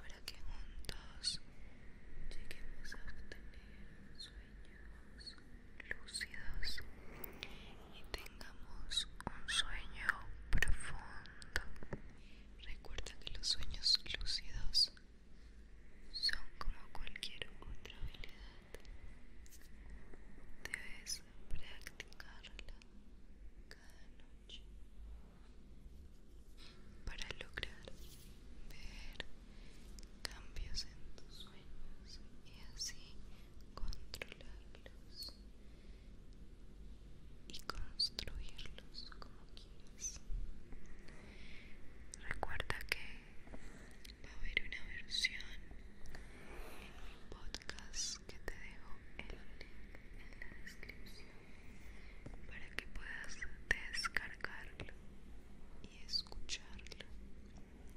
para que juntos lleguemos a obtener sueños lúcidos y tengamos un sueño profundo. Recuerda que los sueños lúcidos son como cualquier otra habilidad. Debes practicarla cada noche para lograr ver cambios en tus sueños y así controlarlos y construirlos como quieras. Recuerda que va a haber una versión en mi podcast que te dejo el en la descripción para que puedas descargarlo y escucharlo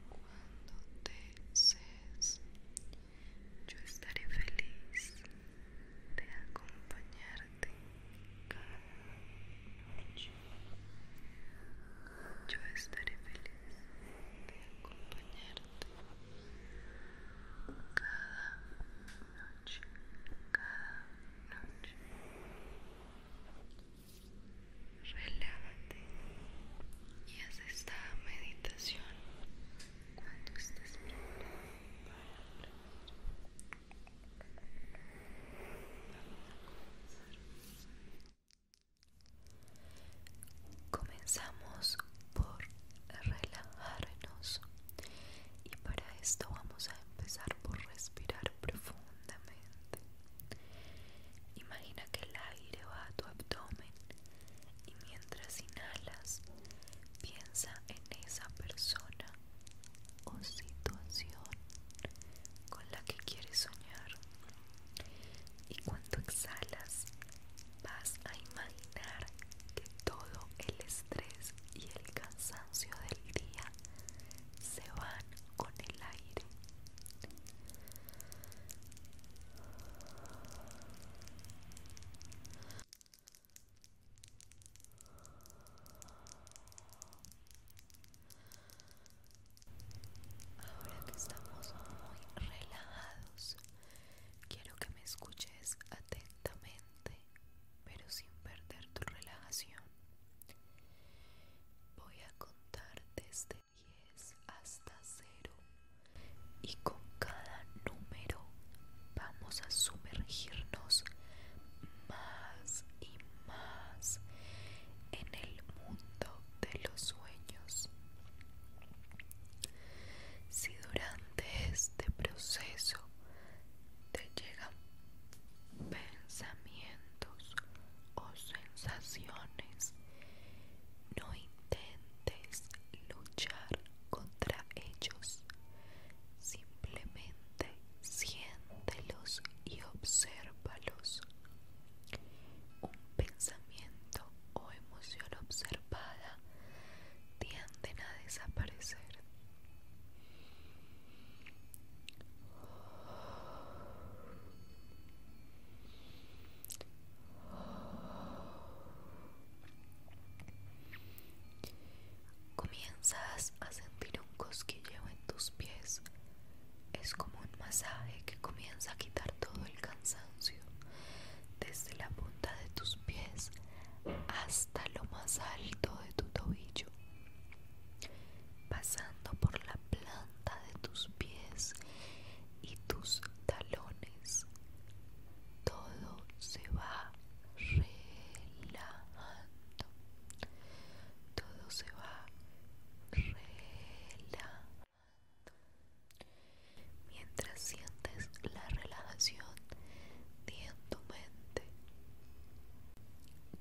cuando te desees. Yo estaré feliz de acompañarte cada noche. Yo estaré feliz de acompañarte cada noche, cada noche. Relájate y haz esta meditación cuando estés preparado para Vamos a comenzar. Comenzamos por relajarnos y para esto vamos a empezar por respirar profundamente. Imagina que el aire va a tu abdomen y mientras inhalas piensa en esa persona o situación con la que quieres soñar y cuando exhalas vas a imaginar que todo el estrés y el cansancio del día se van con el aire. Ahora que estamos muy relajados, Quiero que me escuches atentamente, pero sin perder tu relajación. Voy a contar desde 10 hasta 0 y con cada número vamos a sumergirnos más y más en el mundo de los sueños. Si durante este proceso te llegan pensamientos o sensaciones, no intentes luchar contra ellos, simplemente siéntelos y obsérvalos. Un pensamiento o emoción observada tienden a desaparecer. Comienzas a sentir un cosquilleo en tus pies. Es como un masaje que comienza a quitar todo el cansancio desde la punta de tus pies hasta lo más alto de tu tobillo, pasando por la planta de tus pies y tus talones. Todo se va relajando. Todo se va relajando mientras sientes la relajación en tu mente.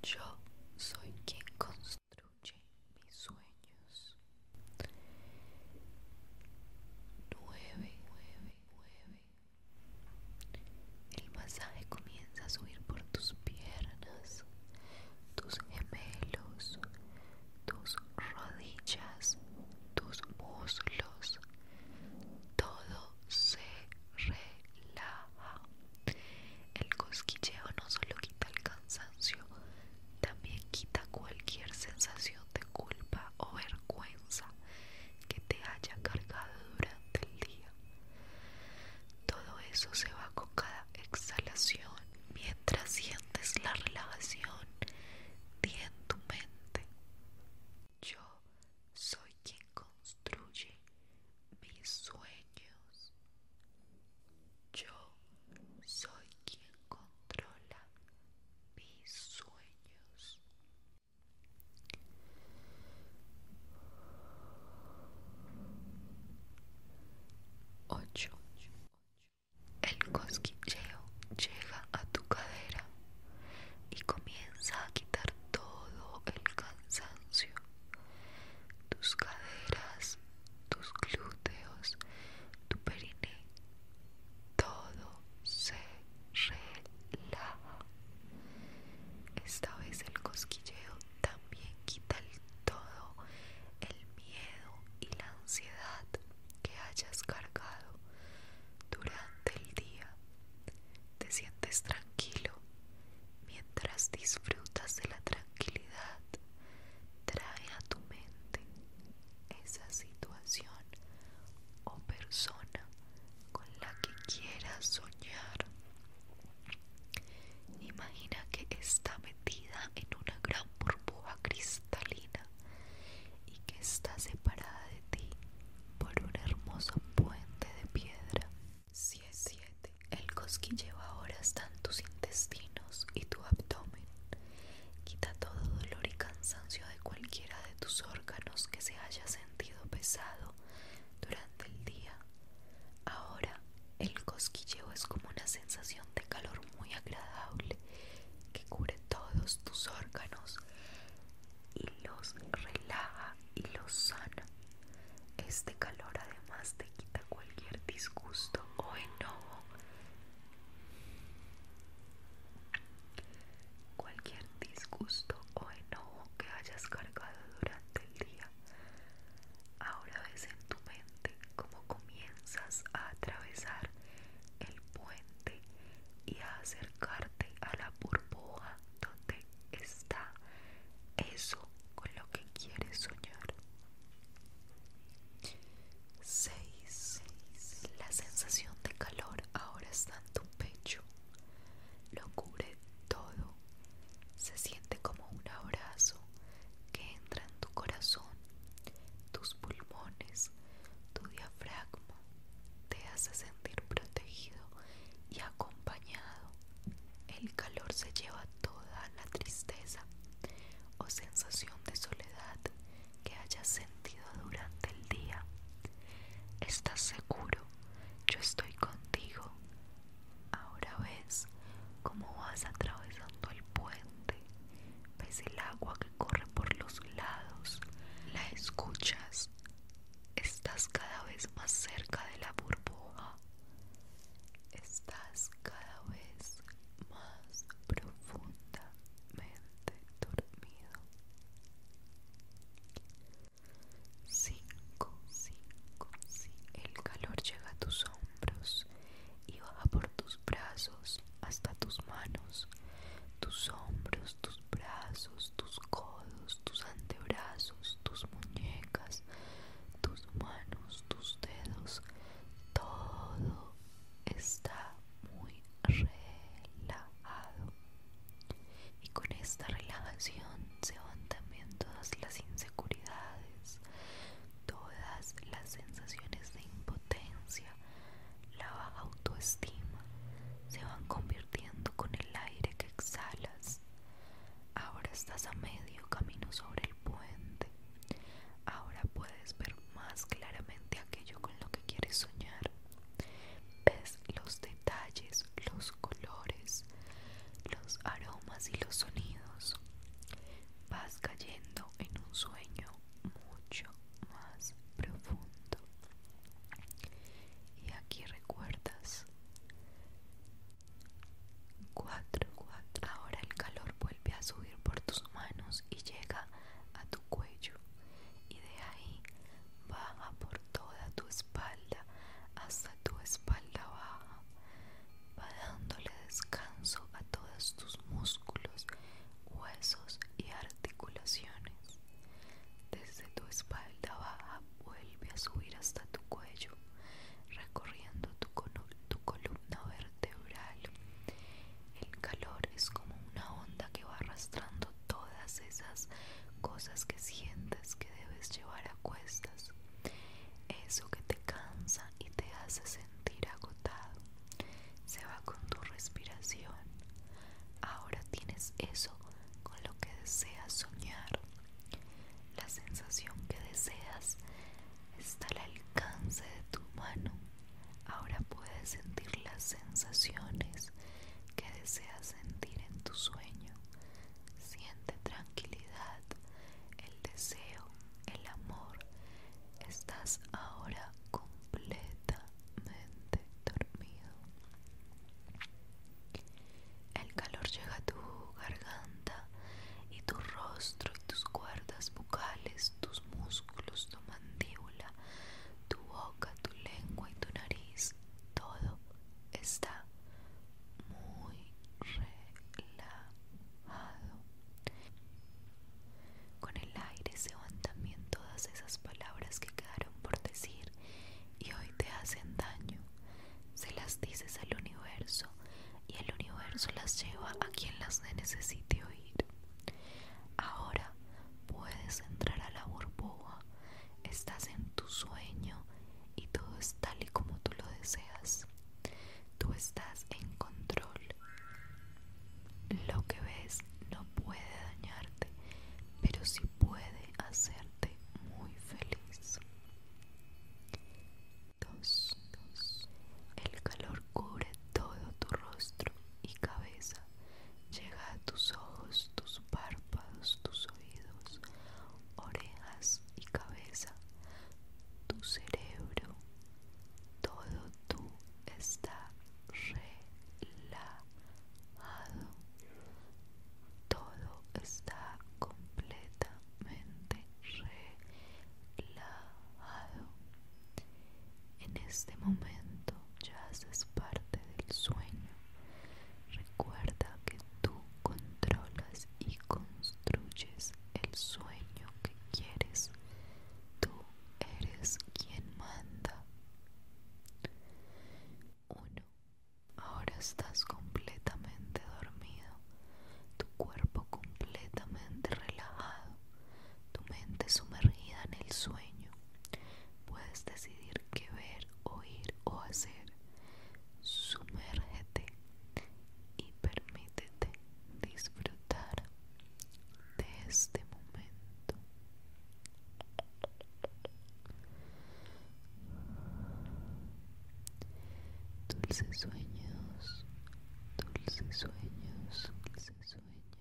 Yo soy quien construye mis sueños. 9, 9, 9. El masaje comienza a subir por tus piernas, tus gemelos, tus rodillas, tus muslos, todo se relaja. El cosquilleo no solo quita el cansancio, también quita cualquier sensación de culpa o vergüenza que te haya cargado durante el día. Todo eso se va con cada exhalación mientras sientes la relajación di en tu mente. Yo soy quien construye mis sueños. Yo soy quien controla mis sueños. Ocho. Ocho. El cosquilleo llega a tu cadera y comienza a quitar todo el cansancio. Tus caderas, tus glúteos, tu periné, todo se relaja. Esta vez el cosquilleo también quita todo el miedo y la ansiedad que hayas cargado durante el día. Te sientes tranquilo mientras disfrutas de la tranquilidad. Trae a tu mente esa situación o persona con la que quieras soñar Imagina que está metida en una gran burbuja cristalina y que está separada de ti por un hermoso puente de piedra. 7. El cosquilleo ahora está en tus intestinos y tu abdomen. Quita todo dolor y cansancio de cualquiera de tus órganos que se haya sentido pesado durante el día Ahora el cosquilleo es como una sensación de calor muy agradable que cubre todos tus órganos y los relaja y los sana. Este calor además te quita cualquier disgusto o enojo. Cualquier disgusto o enojo que hayas cargado durante el día ahora. ves en tu mente como comienzas a atravesar el puente y a acercarte a la burbuja donde está eso con lo que quieres soñar. 6. La sensación de calor ahora está en tu pecho. Lo cubre todo. Se siente como un abrazo que entra en tu corazón, tus pulmones, tu diafragma, te hace sentir protegido y acompañado. El calor se lleva toda la tristeza o sensación de soledad que hayas sentido durante el día. Estás seguro, yo estoy contigo, Ahora ves cómo vas atravesando el puente, ves el agua que corre por los lados, la escuchas, estás cada vez más cerca de la burbuja, estás cada vez más profundamente dormido. 5, 5, El calor llega a tus hombros y baja por tus brazos hasta tus manos. Tus hombros, tus brazos, tus codos, tus antebrazos, tus muñecas, tus manos, tus dedos. Todo está muy relajado. Y con esta relajación se van también todas las inseguridades, todas las sensaciones de impotencia, la baja autoestima, se van convirtiendo con el aire que exhalas. Ahora estás a medio camino sobre el puente. Ahora puedes ver más claramente aquello con lo que quieres soñar. Ves los detalles, los colores, los aromas y los sonidos, vas cayendo en un sueño mucho más profundo. Y aquí recuerdas 4, 4. Ahora el calor vuelve a subir por tus manos y llega a tu cuello y de ahí baja por toda tu espalda hasta tu espalda baja, va dándole descanso a todos tus músculos, huesos y articulaciones. Desde tu espalda baja vuelve a subir hasta tu cuello, recorriendo tu, tu columna vertebral. El calor es como una onda que va arrastrando todas esas cosas que sientes que debes llevar a cuesta eso que te cansa y te hace sentir agotado, se va con tu respiración. Ahora tienes eso con lo que deseas soñar. La sensación que deseas está al alcance de tu mano. Ahora puedes sentir las sensaciones que deseas sentir en tu sueño. Siente tranquilidad, el deseo, el amor. Estás ahora completamente dormido. El calor llega a tu garganta y tu rostro y tus cuerdas bucales, tus músculos, tu mandíbula, tu boca, tu lengua y tu nariz. Todo está muy relajado. Con el aire se van también todas esas palabras que quedaron por decir y hoy te hacen daño. Se las dices al universo y el universo las lleva a quien las necesite oír. Ahora puedes entrar a la burbuja estás en tu sueño y todo es tal y como tú lo deseas. Tú estás en control. Lo que ves no puede dañarte, pero sí puede hacerte muy feliz. Dos El calor cubre todo tu rostro y cabeza. Llega a tus ojos, tus párpados, tus ojos oídos, orejas y cabeza, tu cerebro, todo tú está relajado, todo está completamente relajado. En este momento ya haces parte del sueño Recuerda que tú controlas y construyes el sueño que quieres. Tú eres quien manda. 1. Ahora estás completamente dormido, tu cuerpo completamente relajado, tu mente sumergida en el sueño. Puedes decidir qué ver oír o hacer. Sumérgete y permítete disfrutar de este momento. Dulces sueños, dulces sueños, dulces sueños.